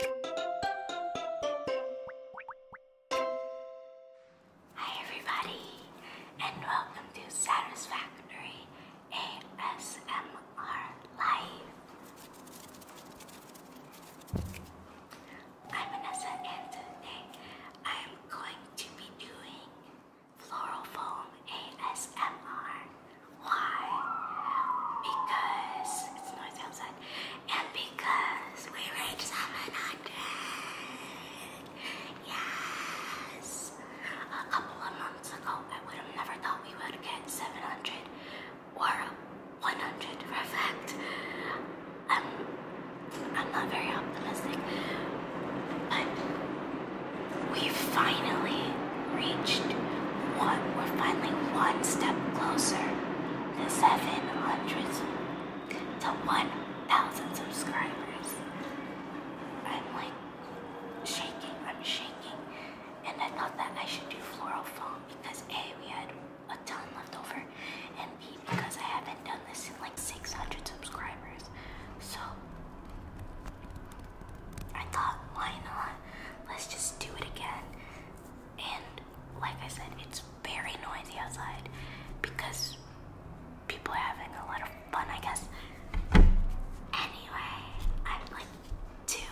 Hi everybody, and welcome to Satisfactory ASMR Live. I'm Vanessa, and today I am going to be doing floral foam ASMR. Why? Because it's noisy outside 1, and because we reached 700, yes, a couple of months ago, I would have never thought we would get 700 or 100 for a fact. I'm, I'm not very optimistic, but we finally reached one, we're finally one step closer the 700 to 1,000 subscribers. I'm like shaking, I'm shaking. And I thought that I should do floral foam because A, we had a ton left over, and B, because I haven't done this in like 600 subscribers. So I thought, why not? Let's just do it again. And like I said, it's very noisy outside because people are having a lot of fun, I guess. Anyway, I'd like to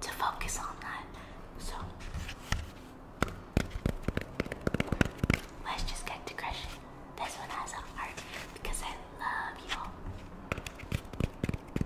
to focus on that. So let's just get to crushing. This one has a heart because I love you all.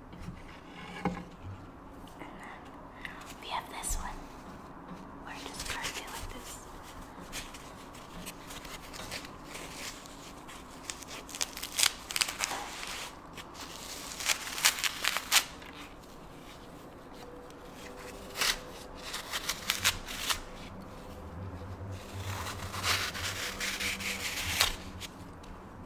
And then we have this one. We're just going it like this.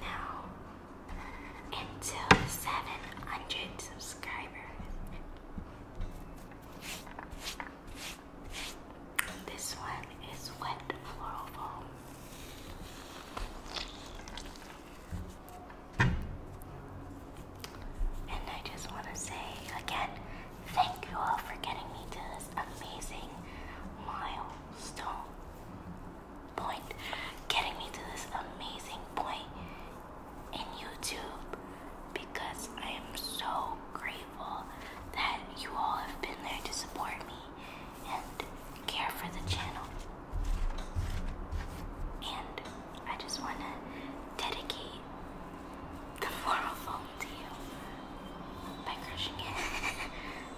Now, until 700 subscribers. This one is wet floral foam. And I just want to say again, thank you all for getting me to this amazing milestone point, getting me to this amazing point in YouTube because I am so grateful that you all have been there to support me and care for the channel. And I just want to dedicate the moral phone to you by crushing it.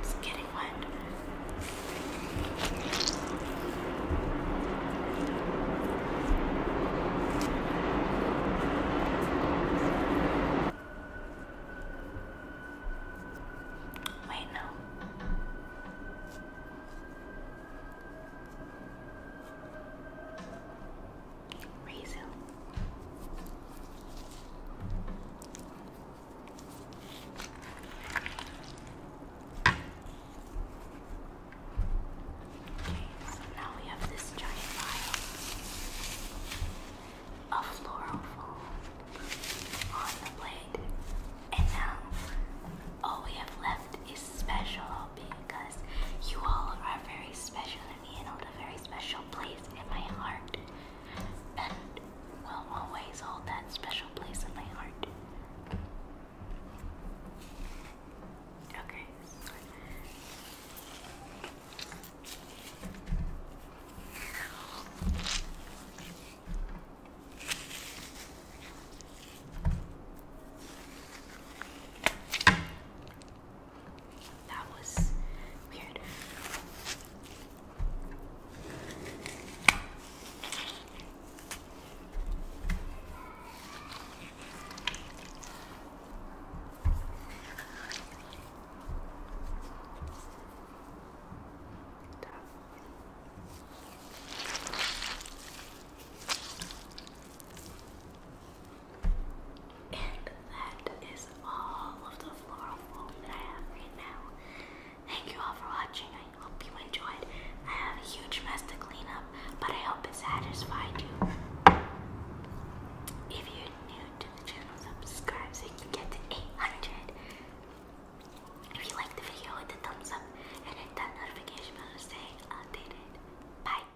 It's getting wet. Wait, no. Raisin. Okay, so now we have this giant vial of floral foam on the plate. And now all we have left is special because you all are very special me hold a very special place in my heart. And will always hold that special place in my heart. Okay. That was weird. And that is all of the floral foam that I have right now. Thank you all for watching. I hope you enjoyed. I have a huge mess to clean up, but I hope it satisfied you. If you're new to the channel, subscribe so you can get to 800. If you like the video, hit the thumbs up and hit that notification bell to stay updated. Bye.